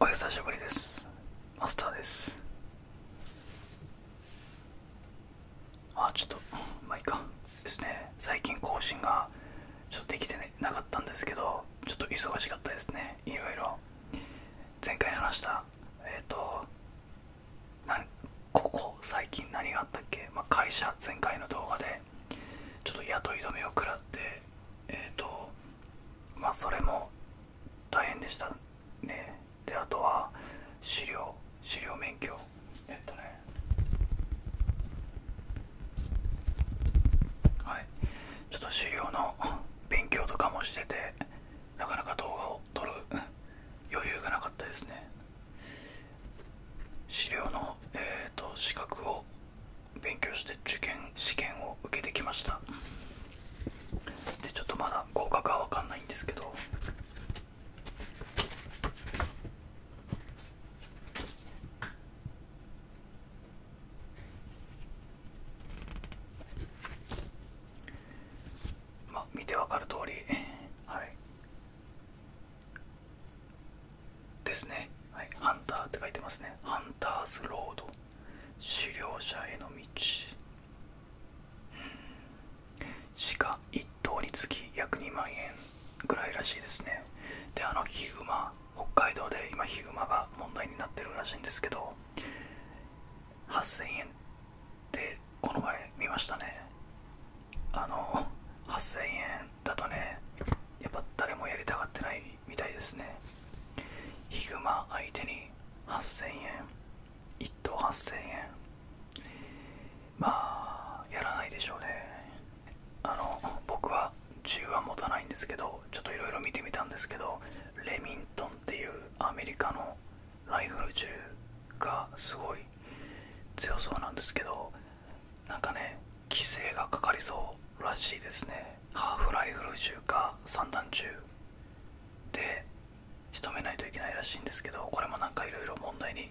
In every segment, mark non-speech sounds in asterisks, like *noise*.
お久しぶりですマスターですあちょっとまいいかですね最近更新がちょっとできて、なかったんですけどちょっと忙しかったですねいろいろ前回話したえっ、とここ最近何があったっけ、ま会社前回の動画でちょっと雇い止めを食らってえっ、とまあそれも大変でしたねであとは資料資料免許えっとねはいちょっと資料の勉強とかもしててなかなか動画を撮る余裕がなかったですね資料の、えーと、と資格を勉強して受験試験を受けてきましたでちょっとまだ合格は分かんないんですけどまあ見て分かる通りはいですね、はい、ハンターって書いてますねハンターズロード狩猟者への道鹿1頭につき約2万円ぐらいらしいですねであのヒグマ北海道で今ヒグマが問題になってるらしいんですけど8000円ってこの前見ましたねあの8000円だとねやっぱ誰もやりたがってないみたいですねヒグマ相手に8000円1等8000円まあやらないでしょうねあの僕は銃は持たないんですけどちょっといろいろ見てみたんですけどレミントンっていうアメリカのライフル銃がすごい強そうなんですけどなんかね規制がかかりそうらしいですねハーフライフル銃か散弾銃で仕留めないといけないらしいんですけどこれもなんかいろいろ問題に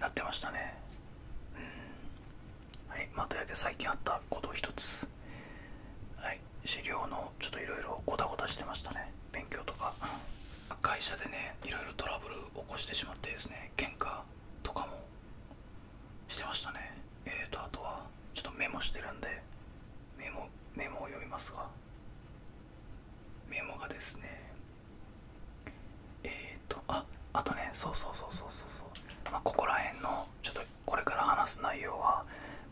なってましたねうんはいまというわけ最近あったことを一つはい資料のちょっといろいろごたごたしてましたね勉強とか会社でねいろいろトラブル起こしてしまってですね喧嘩とかもしてましたねえっとあとはちょっとメモしてるんでメモメモを読みますがメモがですねえっとああとねそうそうそうそうそうそうまここら辺のちょっとこれから話す内容は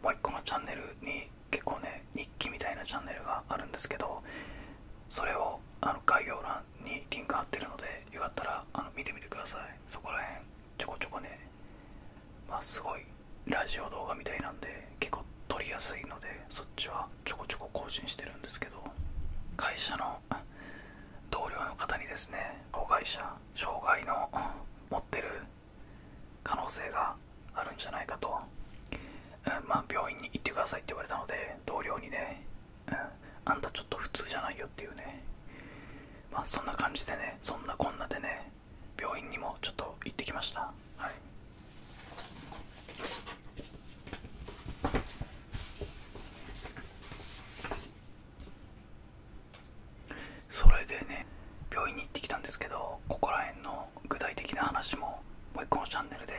もう一個のチャンネルに結構ね日記みたいなチャンネルがあるんですけどそれをあの概要欄にリンク貼ってるのでよかったらあの見てみてくださいそこら辺ちょこちょこねまあすごいラジオ動画みたいなんで結構撮りやすいのでそっちはちょこちょこ更新してるんですけど会社の同僚の方にですね子会社障害の持ってる可能性があるんじゃないかと、ま病院に行ってくださいって言われたので同僚にね、うん、あんたちょっと普通じゃないよっていうねまあそんな感じでねそんなこんなでね病院にもちょっと行ってきましたはいそれでね病院に行ってきたんですけどここら辺の具体的な話ももう一個のチャンネルで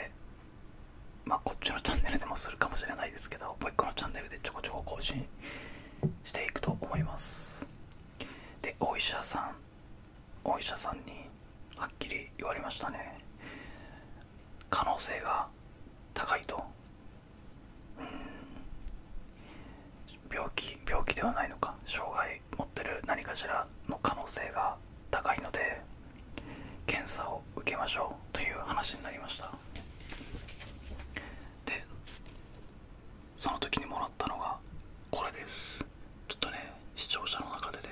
まあこっちのチャンネルでもするかもしれないですけどもう一個のチャンネルでちょこちょこ更新していくと思いますでお医者さんお医者さんにはっきり言われましたね可能性が高いとうん病気病気ではないのか障害持ってる何かしらの可能性が高いので検査を受けましょうという話になりましたでその時にもらったのがこれですちょっとね視聴者の中でね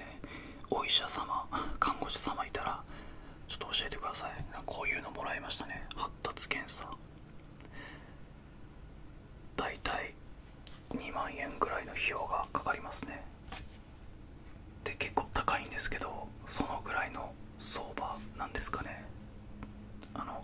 お医者様看護師様いたらちょっと教えてくださいこういうのもらいましたね発達検査だいたい2万円ぐらいの費用がかかりますねで結構高いんですけどそのぐらいの相場なんですかねあの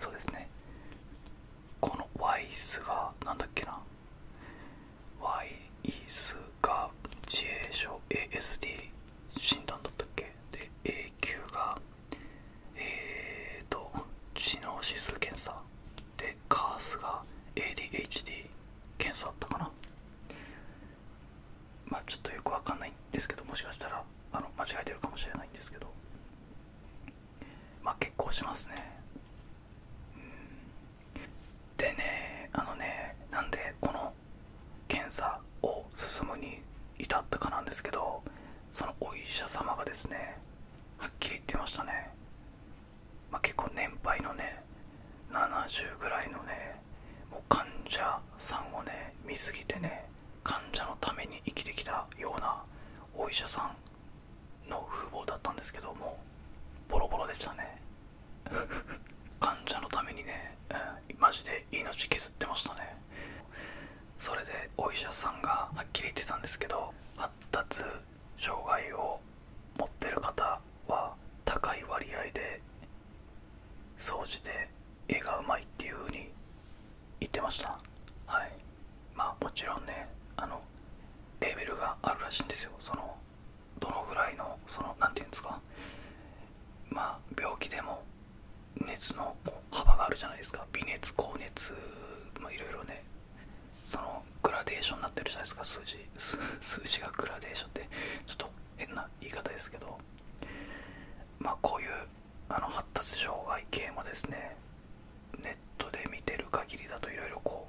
そうですねこのワイスがなんだっけなワイスが自閉症 ASD 診断だったっけで A 級がえっと知能指数検査でカースが ADHD 検査だったかなまあちょっとよくわかんないんですけどもしかしたらあの間違えてるかもしれないんですけどま結構しますね、でねあのねなんでこの検査を進むに至ったかなんですけどそのお医者様がですねはっきり言ってましたね、ま結構年配のね70ぐらいのねもう患者さんをね見過ぎてね患者のために生きてきたようなお医者さんの風貌だったんですけどもボロボロでしたね *laughs* 患者のためにね、マジで命削ってましたねそれでお医者さんがはっきり言ってたんですけど発達障害を持ってる方は高い割合で総じて絵がうまいっていう風に言ってましたはいまあもちろんねあのレベルがあるらしいんですよそのどのぐらいのその何て言うんですかまあ病気でも熱の幅があるじゃないですか微熱高熱まあいろいろねそのグラデーションになってるじゃないですか数字 *laughs* 数字がグラデーションってちょっと変な言い方ですけどまあこういうあの発達障害系もですねネットで見てる限りだといろいろこ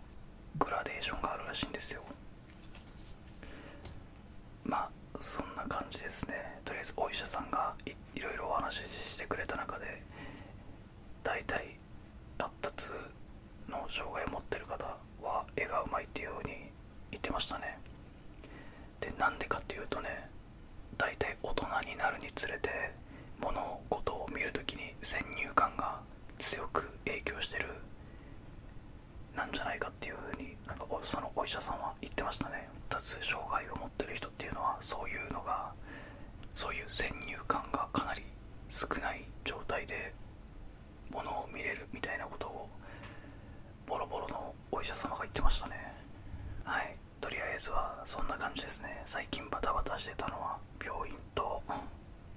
うグラデーションがあるらしいんですよまあそんな感じですねとりあえずお医者さんがいろいろお話ししてくれた中で大体発達の障害を持ってる方は絵がうまいっていう風に言ってましたねでなんでかっていうとね大体大人になるにつれて物事を見るときに先入観が強く影響してるなんじゃないかっていうふうになんかそのお医者さんは言ってましたね2つ障害を持ってる人っていうのはそういうのがそういう先入観がかなり少ない状態で物を見れるみたいなことをボロボロのお医者様が言ってましたねはいとりあえずはそんな感じですね最近バタバタしてたのは病院と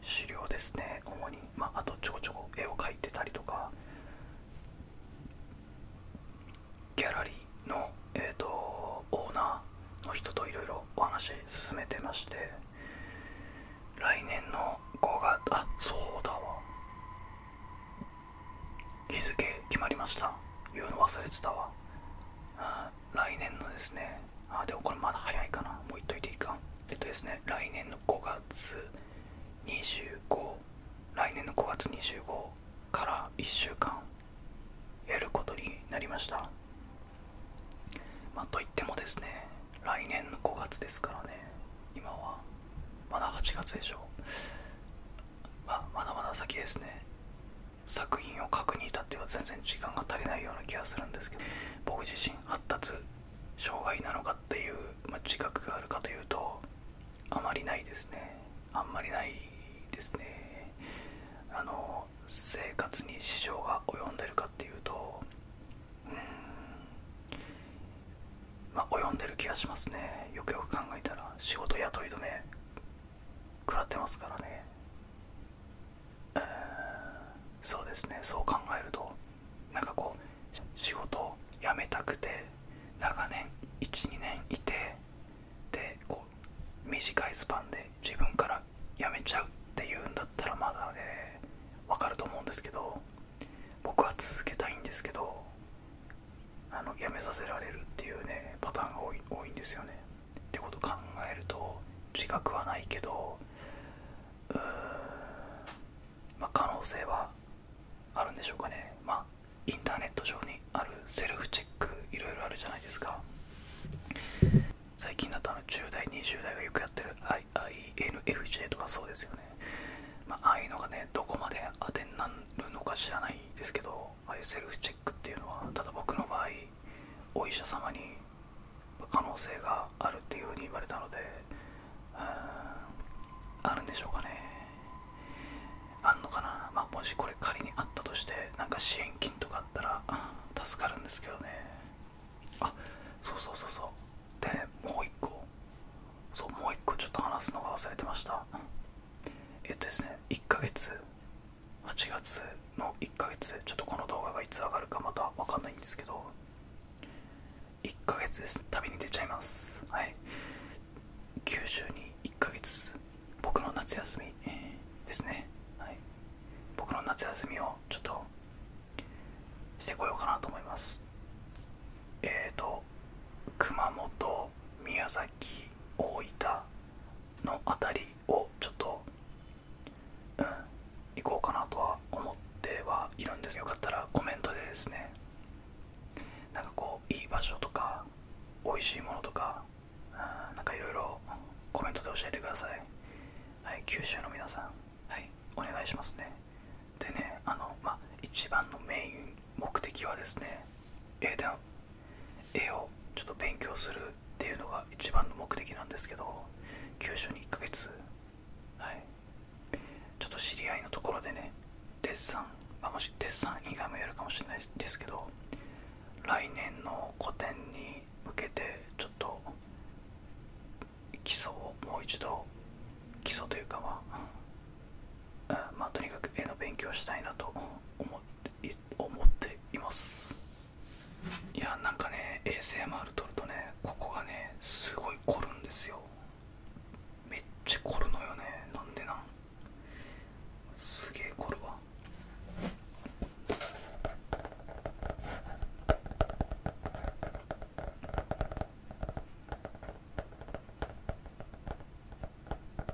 資料ですね主に、まあ、とちょこちょこ絵を描いてたりとかギャラリーの、えーと、オーナーの人といろいろお話進めてまして来年の5月あそうだわ日付決まりました言うの忘れてたわ来年のですねあでもこれまだ早いかなもう言っといていいかえっとですね来年の5月25来年の5月25から1週間やることになりましたまといってもですね来年の5月ですからね今はまだ8月でしょう。まあ、まだまだ先ですね作品を書くに至っては全然時間が足りないような気がするんですけど僕自身発達障害なのかっていう、ま自覚があるかというとあまりないですねあんまりないですねあの生活に支障が及んでるかっていうとうんまあ及んでる気がしますねよくよく考えたら仕事雇い止め食らってますからね、そうですねそう考えるとなんかこう仕事辞めたくて長年12年いてでこう短いスパンで自分から辞めちゃうっていうんだったらまだね分かると思うんですけど僕は続けたいんですけどあの辞めさせられるっていうねパターンが多い多いんですよね。ってこと考えると自覚はないけどうーん、まあ、可能性はあるんでしょうかね。まあインターネット上にあるセルフチェックいろいろあるじゃないですか。最近だとあの10代20代がよくやってる INFJ とかそうですよね。まああいうのがねどこまで当てになるのか知らないですけどああいうセルフチェックっていうのはただ僕の場合お医者様に可能性があるっていうふうに言われたのであるんでしょうかねあんのかな、まもしこれ仮にあったとしてなんか支援金とかあったら助かるんですけどねあそうそうそうそうでもう一個そうもう一個ちょっと話すのが忘れてましたえっとですね1ヶ月8月の1ヶ月ちょっとこの動画がいつ上がるかまた分かんないんですけど1ヶ月です旅に出ちゃいますはい九州に1ヶ月僕の夏休みですねはい僕の夏休みをちょっとしてこようかなと思いますえっ、と熊本宮崎大分の辺りをちょっと、うん、行こうかなとは思ってはいるんですよかったらコメントでですねなんかこういい場所とか美味しいものとか、うなんかいろいろコメントで教えてください、はい、九州の皆さん、はい、お願いしますねでねあのまあ一番のメイン目的はですね英で絵をちょっと勉強するっていうのが一番の目的なんですけど急所に1ヶ月はいちょっと知り合いのところでねデッサン、あ、もしデッサン以外もやるかもしれないですけど来年の個展に向けてちょっと基礎をもう一度基礎というかは？まあとにかく絵の勉強したいなと思って思っていますいやなんかね ASMR 撮るとねここがねすごい凝るんですよめっちゃ凝るのよねなんでなんすげえ凝るわあ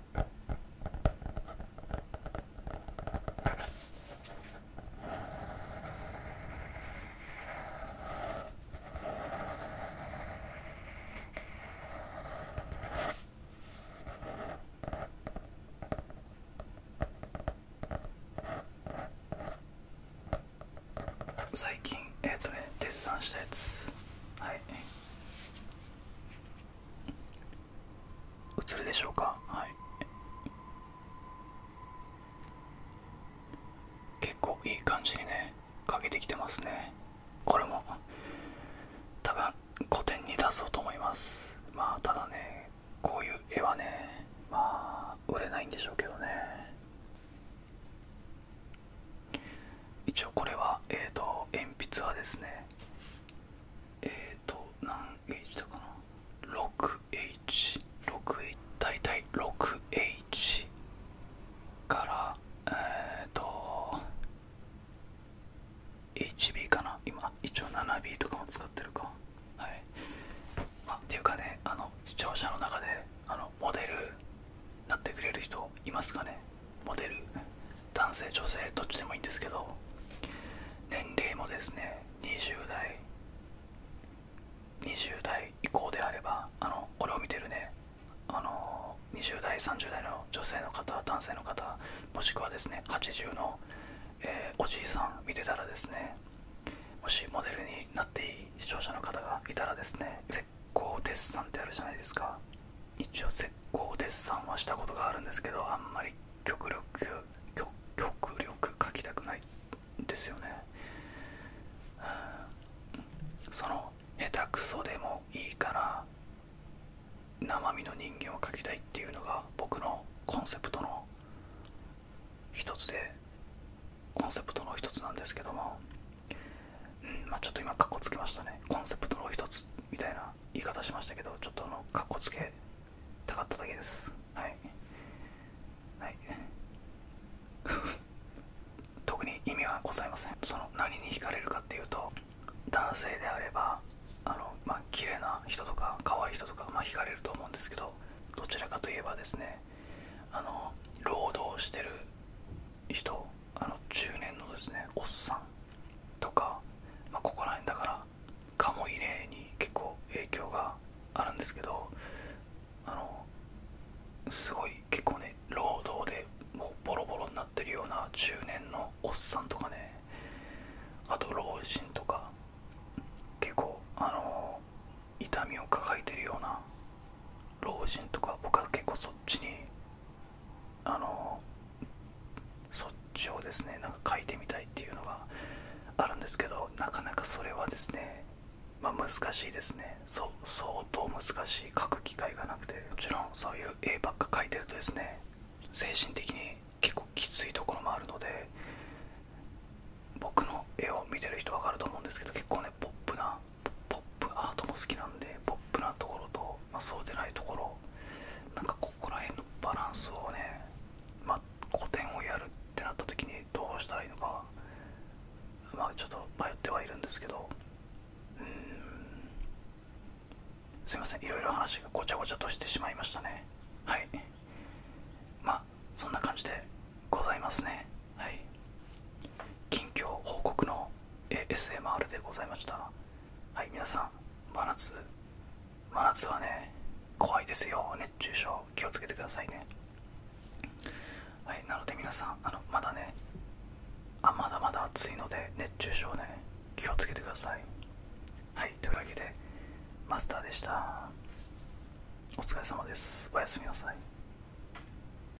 最近えっ、とね絶賛したやつはい映るでしょうかはい結構いい感じにねかけてきてますねこれも多分古典に出そうと思いますまあただねこういう絵はねまあ売れないんでしょうけどね一応これはえっ、と鉛筆はですねえっ、と何 H だかな 6H6H 大体 6H からえっ、ー、と HB かな今一応 7B とかも使ってるかはいっていうかねあの視聴者の中であのモデルなってくれる人いますかねモデル男性女性どっちでもいいんですけど年齢もですね20代20代以降であればあのこれを見てるねあの20代30代の女性の方男性の方もしくはですね80の、えおじいさん見てたらですねもしモデルになっていい視聴者の方がいたらですね鋼鉄さんってあるじゃないですか一応石膏デッサはしたことがあるんですけどあんまり極力極力描きたくないんですよね、その下手くそでもいいから生身の人間を描きたいっていうのが僕のコンセプトの一つでコンセプトの一つなんですけどもうん、まちょっと今カッコつけましたねコンセプトの一つみたいな言い方しましたけどちょっとあのカッコつけたかっただけですはい *laughs* 特に意味はございませんその何に惹かれるかっていうと男性であればあのま綺麗な人とか可愛い人とかま惹かれると思うんですけどどちらかといえばですねあの労働してる人あの中年のですねおっさんとか、まここら辺だからカモ入れに結構影響があるんですけどあのすごい結構ね労働でもボロボロになってるような中年のおっさんとかねあと老人とか結構あの痛みを抱えてるような老人とか僕は結構そっちにあのそっちをですねなんか書いてみたいっていうのがあるんですけどなかなかそれはですねまあ難しいですね相当難しい書く機会がなくてもちろんそういう絵ばっか描いてるとですね精神的に結構きついところもあるので僕の絵を見てる人分かると思うんですけど結構ねポップなポップアートも好きなんでポップなところと、まそうでないところなんかここら辺のバランスをね、ま古典をやるってなった時にどうしたらいいのかまちょっと迷ってはいるんですけどうんすいませんいろいろ話がごちゃごちゃとしてしまいましたねはいまあそんな感じでございますねはい近況報告の ASMR でございましたはい皆さん真夏真夏はね怖いですよ熱中症気をつけてくださいねはいなので皆さんあのまだねあまだまだ暑いので熱中症ね気をつけてくださいはいというわけでマスターでしたお疲れ様ですおやすみなさい